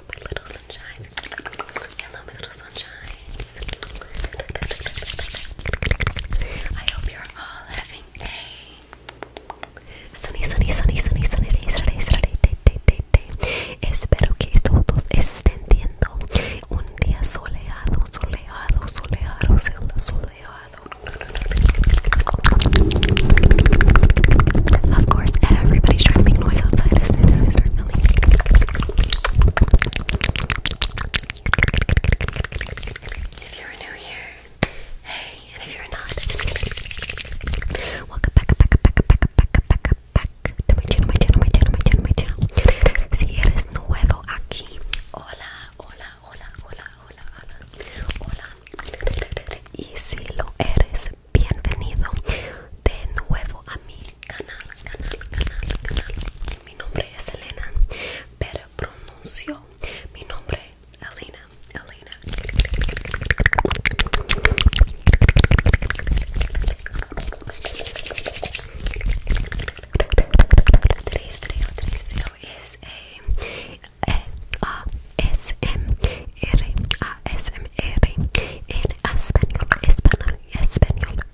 my little sunshines. Hello, my little sunshines. I hope you're all having a sunny, sunny, sunny, sunny, sunny day, Saturday, Saturday, day, day, day, day. Espero que todos estén teniendo un día soleado, soleado, soleado, soleado, soleado. Of course, everybody's trying to make noise outside definitely. If you're new here, hey, and if you're not, welcome back, back, back, back, back, back, back to my channel, my channel, my channel, my channel, my channel. Si eres nuevo aquí, hola, hola, hola, hola, hola, hola, hola. Y si lo eres bienvenido de nuevo a mi canal, canal, canal, canal. Mi nombre es Elena, pero pronuncio mi nombre Elena, Elena. es a s m ASMR en español, español,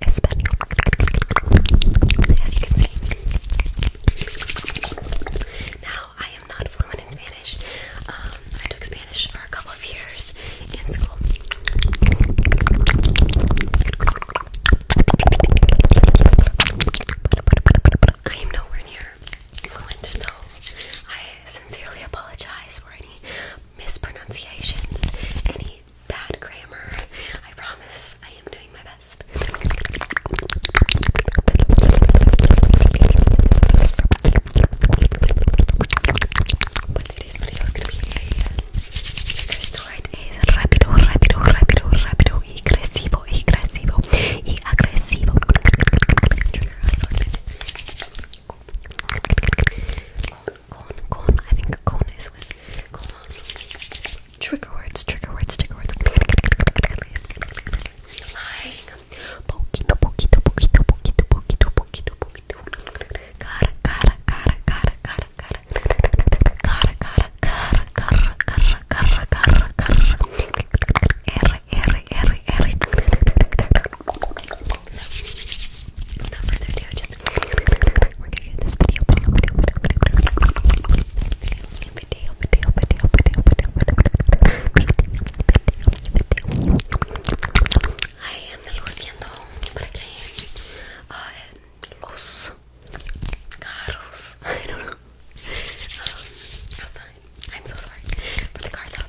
español, español. Now, I am not fluent in Spanish. Um, I took Spanish for a couple of years in school. I am nowhere near fluent, so I sincerely apologize for any mispronunciations, any bad grammar. I promise I am doing my best. But gonna be a word is rápido, rápido, rápido, rápido, agresivo, agresivo, y agresivo cone, cone. I think cone is with cone. Trigger words, trigger words, trigger words. Like poquito, poquito, poquito, poquito, poquito, poquito, poquito. Cara, cara, cara, cara, cara, cara. Cara, cara, cara, cara, cara, cara, cara, cara. R, R, R, R. So, without further ado, just we're gonna get this video. I am luciendo por aquí. los carros. I don't know. I'm so sorry for the cars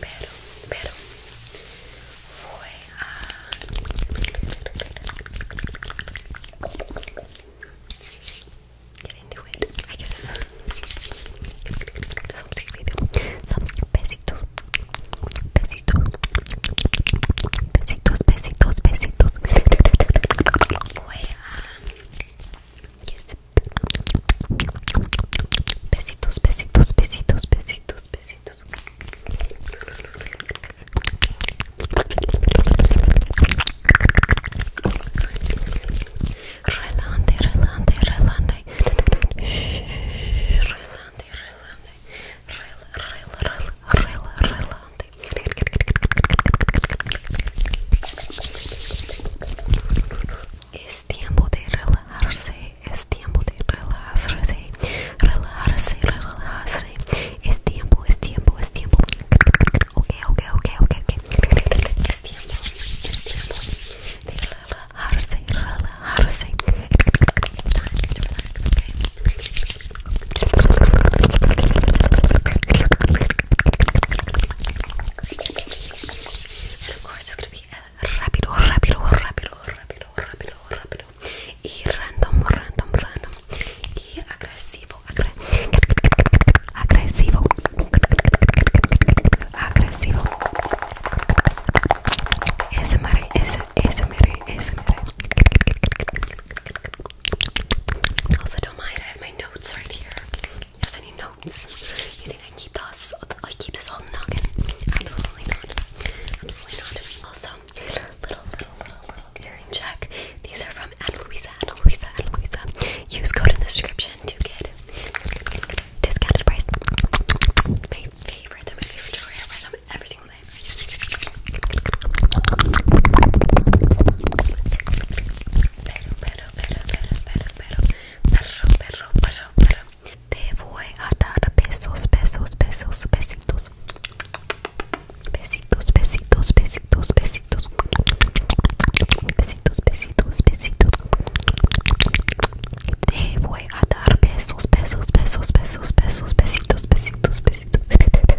Pero, pero fue a get into it, I guess. Son besitos, besitos, besitos, besitos, besitos. Fue a Besitos, besitos, besitos, besitos, besitos. Relante, relante, relante. Relante, relante. Rel, rel, rel, rel, relante. Es es tiempo de relajarse, es tiempo de relajarse, relajarse, relajarse, es tiempo, es tiempo, es tiempo. Ok, ok, ok, ok, okay. Es tiempo, es tiempo de relajarse, relajarse. Time to relax, okay. And of course, rápido, rápido, rápido, rápido, rápido, rápido. Y random, random, random. Y agresivo, agresivo, agresivo, agresivo. Esa madre, esa, esa madre, esa madre. Also, don't mind, I have my notes right here. Yes, any notes? You think I keep this? I keep this whole noggin? Absolutely not. Absolutely not. Also, little, little, little, little earring check. These are from Ana Luisa, Ana Luisa, Ana Luisa. Use code in the description to get discounted price. My favorite. They're my favorite jewelry. I wear them every single day. Pero, pero, pero, pero, pero, pero. Perro, Te voy a dar besos, besos, besos, besitos. Besitos, besitos, besitos, besitos. Besitos, besitos, besitos. Te voy a dar besos, besos, besos, besos, besos, besitos, besitos, besitos. Besitos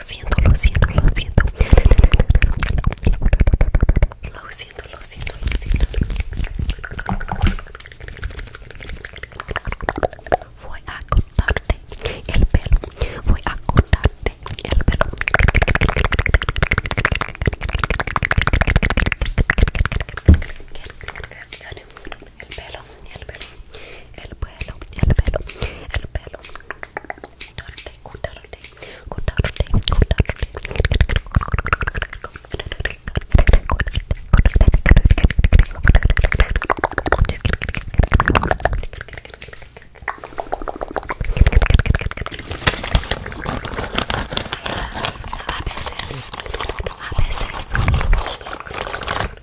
Lo siento, lo siento, lo siento. Lo siento, lo siento, lo siento. Voy a cortarte el pelo. Voy a cortarte el pelo. El pelo y el pelo, el pelo, el pelo, el A veces, a veces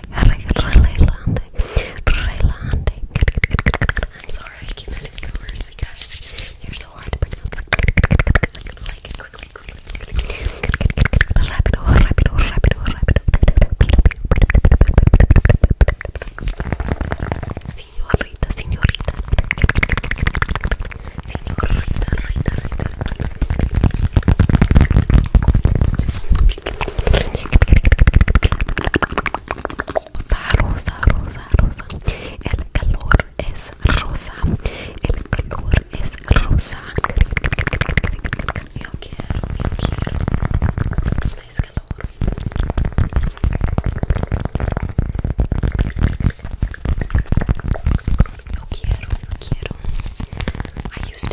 I'm sorry, I keep missing the words because you're so hard to pronounce. Like it quickly, Rápido, rápido, rápido, rapid. Señorita, señorita. Señorita, Rosa, rosa, rosa, El calor es rosa. El calor es rosa. Yo quiero, yo quiero es calor. Yo quiero, yo quiero.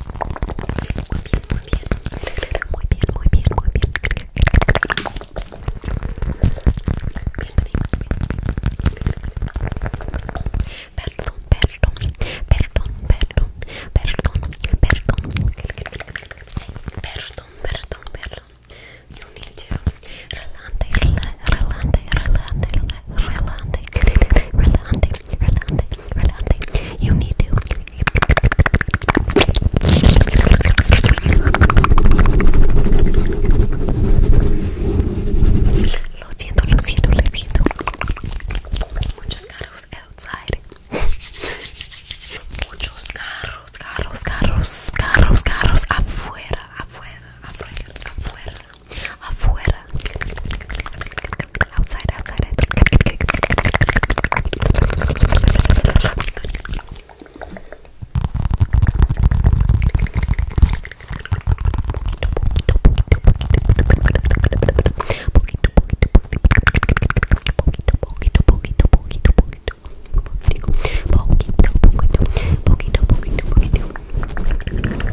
muy bien, muy bien. Perdón, perdón, perdón, perdón, perdón, perdón, perdón, perdón, perdón. You need to Relante, relante, relante, relante You need to. Lo siento, lo siento, lo siento. Muchos carros outside. Muchos carros, carros, carros, carros, carros afuera, afuera, afuera, afuera afuera outside outside poquito poquito poquito poquito poquito poquito poquito poquito poquito poquito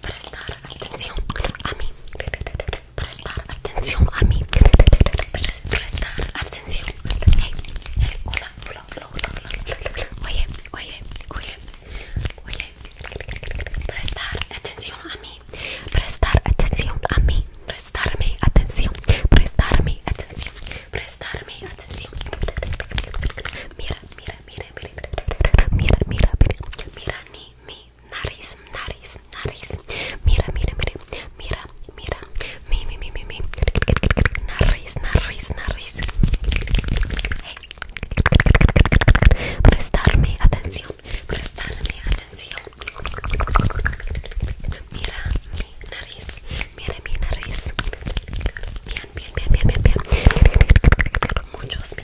prestar atención a mí, prestar atención a mí, prestar atención. hola, hola, hola, hola, hola. Oye, oye, oye, oye, prestar atención a mí, prestar atención a mí, prestarme atención, prestarme atención, prestarme atención. Mira, mira, mira mira, mira, mira, mira, mi nariz, nariz, nariz, mira, mira, mira, mira, mira, mi, mi, mi, mi, mi, Prestarme atención, Mira mi nariz, mira mi nariz. Bien, bien, bien, bien, bien, bien. Muchos,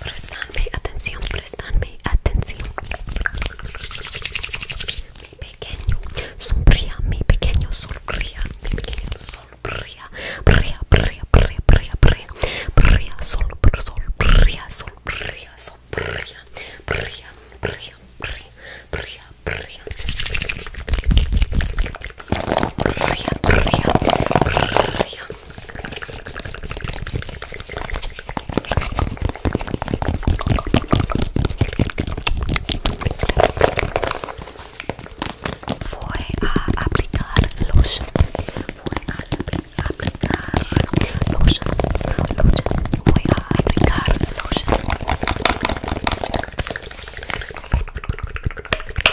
Prestanme atención, prestanme atención. Mi pequeño sonría, mi pequeño sonría, mi pequeño sonría. Brea, brea, brea, brea, brea. Brea, sol, br sol, brea, sol, brea, sol, brea, brea, brea, brea, brea, brea. Fue a aplicar los, fue a aplicar los, los, Voy a aplicar los.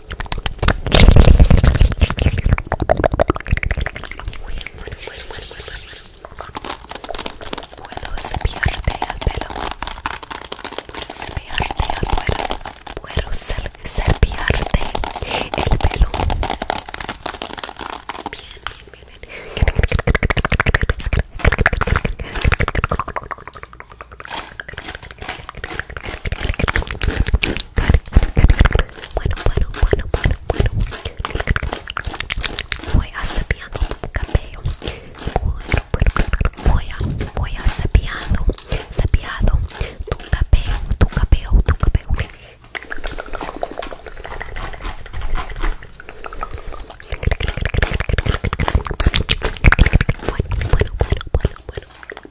bueno, bueno, Puedo cepillarte el pelo. Puedo cepillarte el pelo. Puedo el pelo. bien, bien. bueno, bueno, bueno, bueno, Voy asabiando tu cabello. Voy a, voy asabiando, sabiando tu cabello, tu cabello, tu cabello. Bueno, bueno, bueno, bueno, bueno.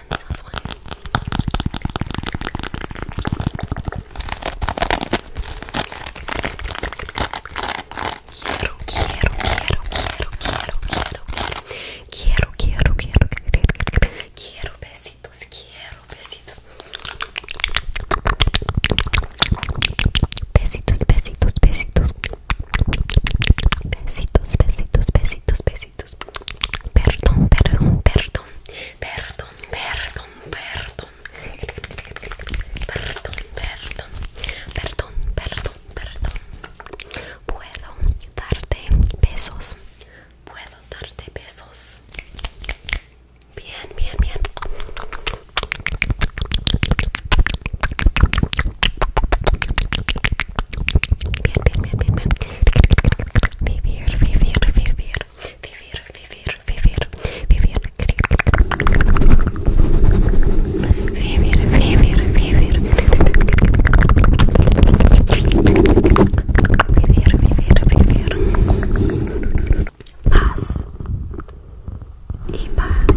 Quiero, quiero, quiero, quiero, quiero, quiero, quiero, quiero, quiero, quiero, quiero besitos, quiero besitos. Besitos, besitos, besitos. Besitos, besitos, besitos, besitos. Perdón, Perdón, perdón, perdón. Perdón, perdón, perdón. Perdón, perdón. Perdón, perdón, perdón. Puedo darte besos. Puedo darte besos. Bien, bien, bien bien, bien, bien, bien. Vivir, vivir, vivir, vivir, vivir, vivir, vivir, vivir, vivir, vivir, vivir, vivir, vivir, paz y paz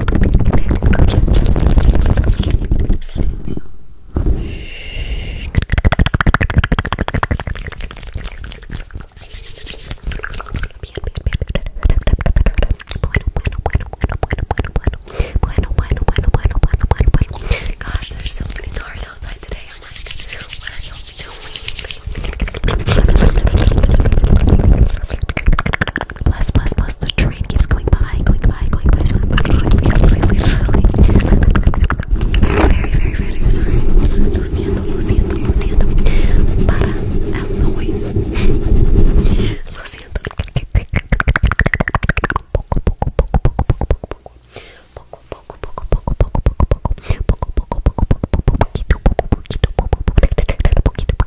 Silencio. Bueno, bueno, bueno, bueno, bueno, bueno, bueno, bueno, bueno, bueno. Gosh, there's so many cars outside today. I'm like, what are you doing? Plus, plus, plus, the train keeps going by, going by, going by. So I'm really, really, really, very, very, very sorry. Lo siento, lo siento, lo siento. Para el noise. Lo siento. Poco,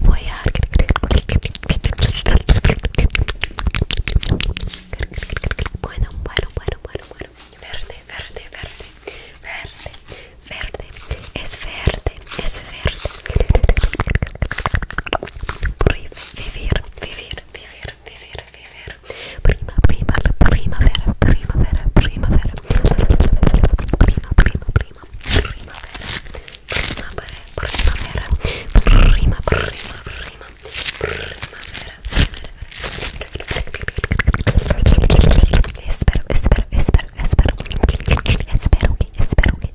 Voy a bueno, bueno, bueno, bueno, bueno. Verde, verde, verde, verde, verde. Es verde, es verde. Vivir, vivir, vivir, vivere, vivere, vivere. Prima, prima, primavera, primavera, primavera. Prima, prima, prima, primavera. Primavera, primavera. Prima, prima, prima, primavera. E spero, e spero, e spero, e spero. E spero che, e spero che, e spero che.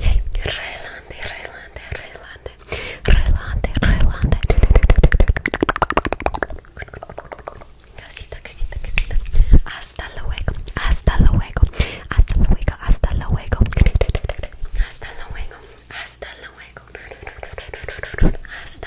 Hey, relante, relante, relante, relante, relante. Casita, casita, casita. Hasta luego, hasta luego, hasta luego, hasta luego, hasta luego, hasta luego, hasta luego. Hasta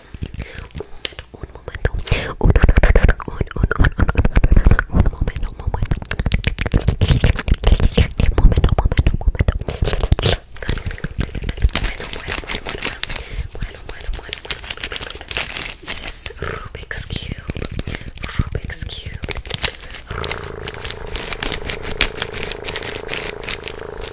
momento, un momento, un momento, un, un, un, un, un momento, un momento, momento, momento, momento. Bueno, bueno, bueno, bueno, bueno, bueno, bueno, bueno. This Rubik's cube, Rubik's cube.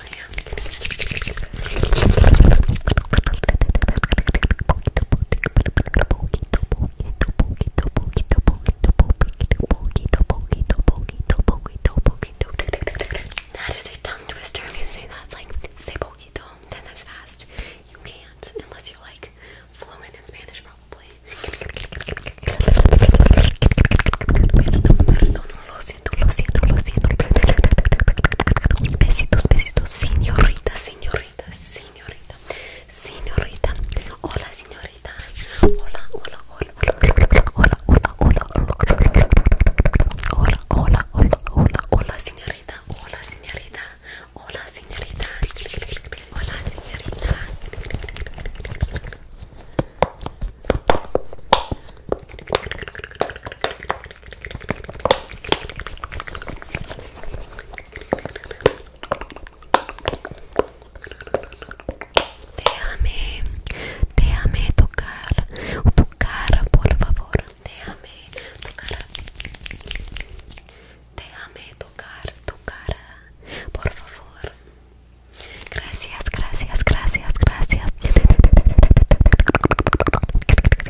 That is a tongue twister. If you say that's like say poquito ten times fast, you can't unless you're like fluent in Spanish, probably lo siento, lo siento, lo siento. Besitos, besitos, señorita, señorita, señorita, señorita. Hola, señorita. Hola, hola, hola, hola, hola, hola, hola. Hola, hola, hola, hola, hola, señorita. Hola, señorita. Hola, señorita. Hola, señorita. Déjame, déjame tocar tu cara, por favor. Déjame tocar. Déjame tocar tu cara, por favor. Gracias, gracias, gracias, gracias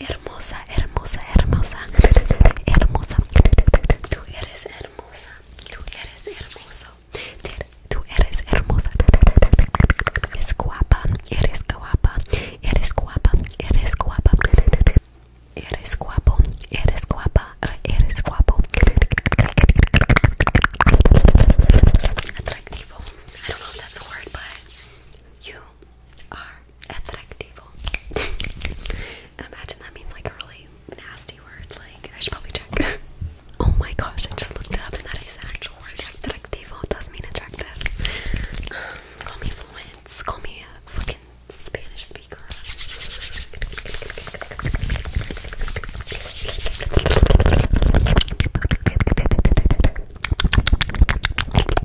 hermosa, hermosa, hermosa, hermosa. Tú eres hermosa, tú eres hermoso, tú eres hermosa. Eres guapa, eres guapa, eres guapa, eres guapa. Eres guapo, eres guapa, eres guapo. Atractivo. I don't know if that's a but you are Atractivo. Imagine that means like a really nasty word. Like, I should probably check. oh my gosh, I just looked it up and that is an actual word. Atractivo does mean attractive. Um, Call me a fucking Spanish speaker.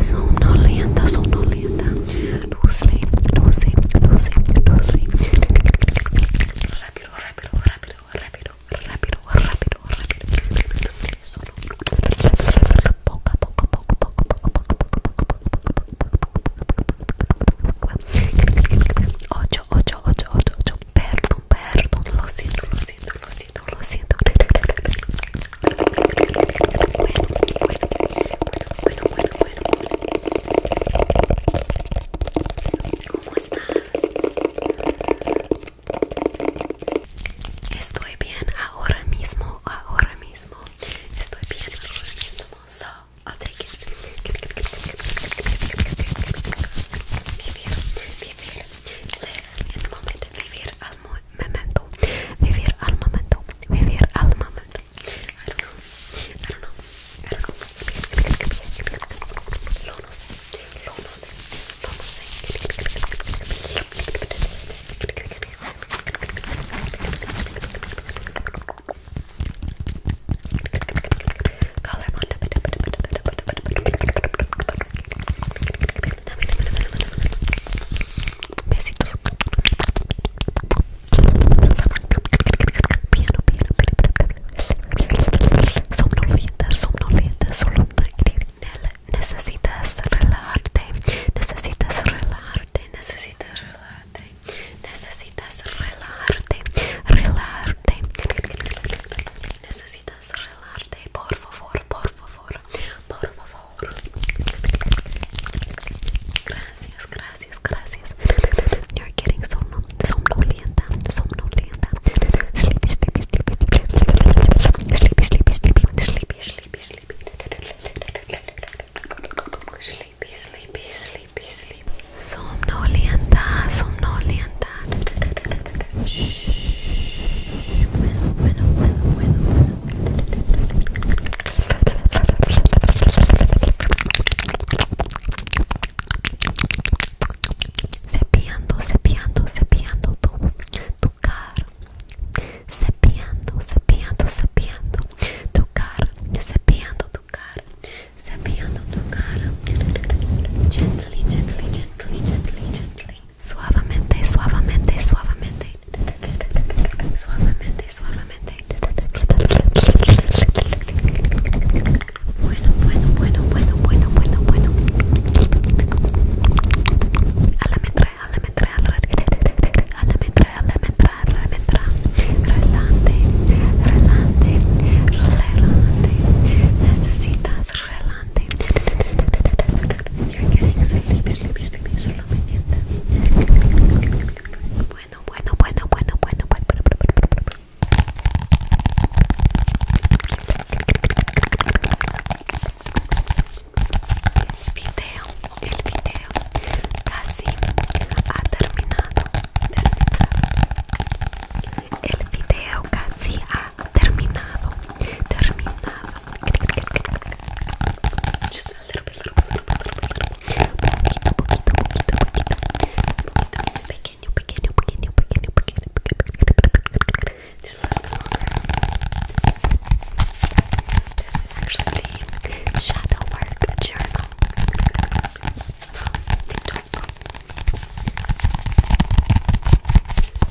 Sonolienta, sonolienta, Rápido, rápido, rápido, rápido, rápido, rápido, rápido. rápido poco, poco, poco, poco, poco, poco, Ocho, ocho, ocho, ocho, Perdón, perdón. Lo lo siento, lo siento no lo siento bueno, bueno, bueno, bueno, bueno, bueno. ¿Cómo estás? Estoy bien ahora mismo, ahora mismo. Estoy bien ahora mismo. So, I'll take it. Vivir, vivir, live el momento de Vivir al momento, vivir al momento, vivir al momento. I don't know, I don't know, I don't know. Lo no sé, lo no sé, lo no sé. Color Besitos. Piano, piano, piano. Somnolienta, somnolienta, solo necesitas relajarte, necesitas relajarte, necesitas relajarte, necesitas relajarte, relajarte, necesitas relajarte, por favor, por favor, por favor. Gracias, gracias, gracias. You're getting somno somnolienta, somnolienta. Sleepy, sleepy, sleepy, sleepy, sleepy, sleepy, sleepy, sleepy, sleepy, sleepy, sleepy, sleepy, sleepy, somnolienta, somnolienta. Shh. Bueno, bueno, bueno, Cepillando, cepillando, tu, tu Cepillando, tu cara. Gently, gently, gently, gently, gently suavemente, suavemente, suavemente, suavemente, suavemente. Bueno, bueno, bueno, bueno, bueno, bueno, bueno. A la metra, a la metra, a la metra, a la metra, a la metra, Relante, relante, relante. Necesitas bueno, bueno, bueno, bueno, bueno, bueno. El video, el video casi ha terminado. terminado. El video casi ha terminado. Terminado. Just a little bit, little bit, little bit, little bit, little bit. Poquito, poquito, poquito, poquito. Pequeño, pequeño, pequeño, pequeño, pequeño, pequeño. Just a little bit longer. This is actually the shadow work journal from TikTok.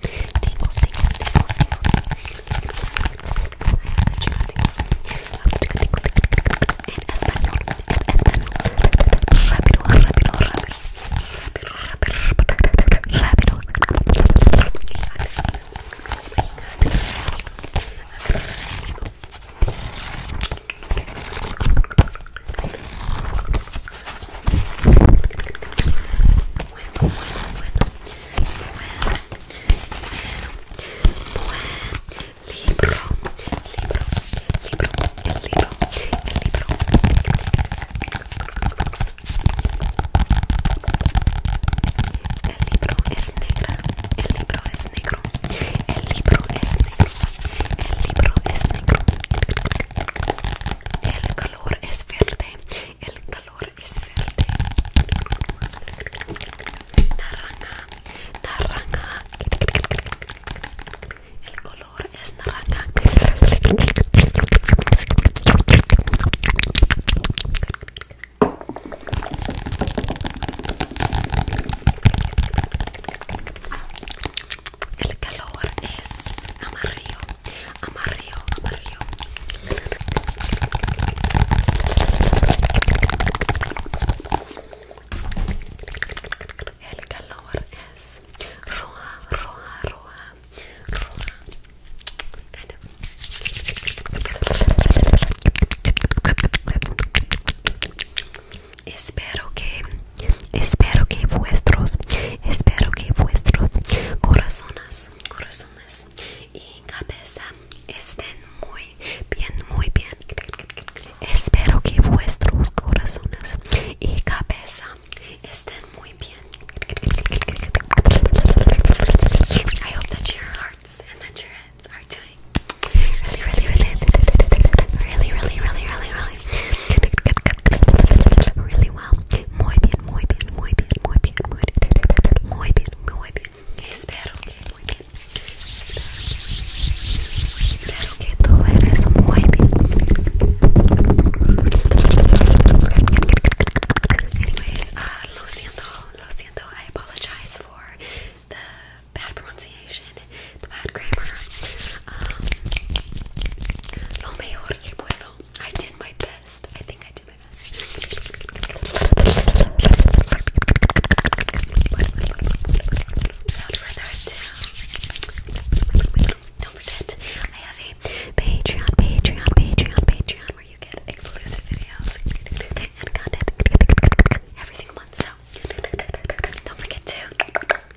tingles, tingles, tingles, tingles. En español, en español bueno, bueno, bueno, el libro, el libro, libro, el libro, el libro. El libro es negro. el libro es negro, el libro es negro, el libro es negro. El el color es verde, el color es verde. Naranja, naranja. El color es naranja el calor es amarillo, amarillo, amarillo. El calor es roja, roja, roja, Espero que Espero que vuestros, espero que vuestros corazones, corazones y cabeza estén muy bien, muy bien. Espero que vuestros corazones y cabeza estén muy bien. I hope that your hearts and that your heads are doing really well. Muy bien, muy bien, muy bien, muy bien, muy bien, muy bien, muy bien. Espero que muy bien. Espero que tú eres muy bien. Anyways, uh, lo siento, lo siento. I apologize for the bad pronunciation, the bad grammar. Um, lo mejor que puedo I did my best. I think I did my best. don't forget, I have a Patreon, Patreon, Patreon, Patreon where you get exclusive videos and content every single month. So don't forget to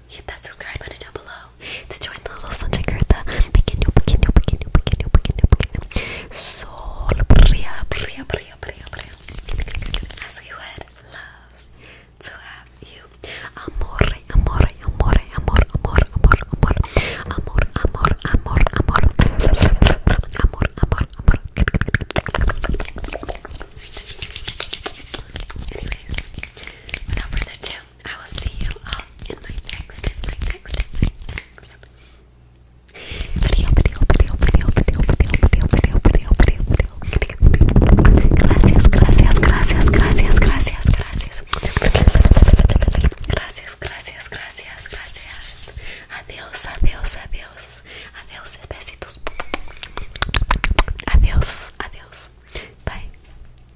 hit that subscribe button down below to join the little sunshine crew the pequeño, pequeño, pequeño, pequeño, pequeño, pequeño Sol Bria, Bria, Bria, Bria, Bria As we would love to have you Amore, amore, amore, amor, amor, amor, amor Amor, amor, amor, amor Amor, amor, amor Anyways, without further ado, I will see you all in my next, my next, my next video, video, video, video, video, video, video, video, video, video. Gracias, gracias, gracias, gracias, gracias, gracias. Gracias, gracias, gracias, gracias. Adiós, adiós, adiós. Adiós, besitos. Adiós, adiós. Bye.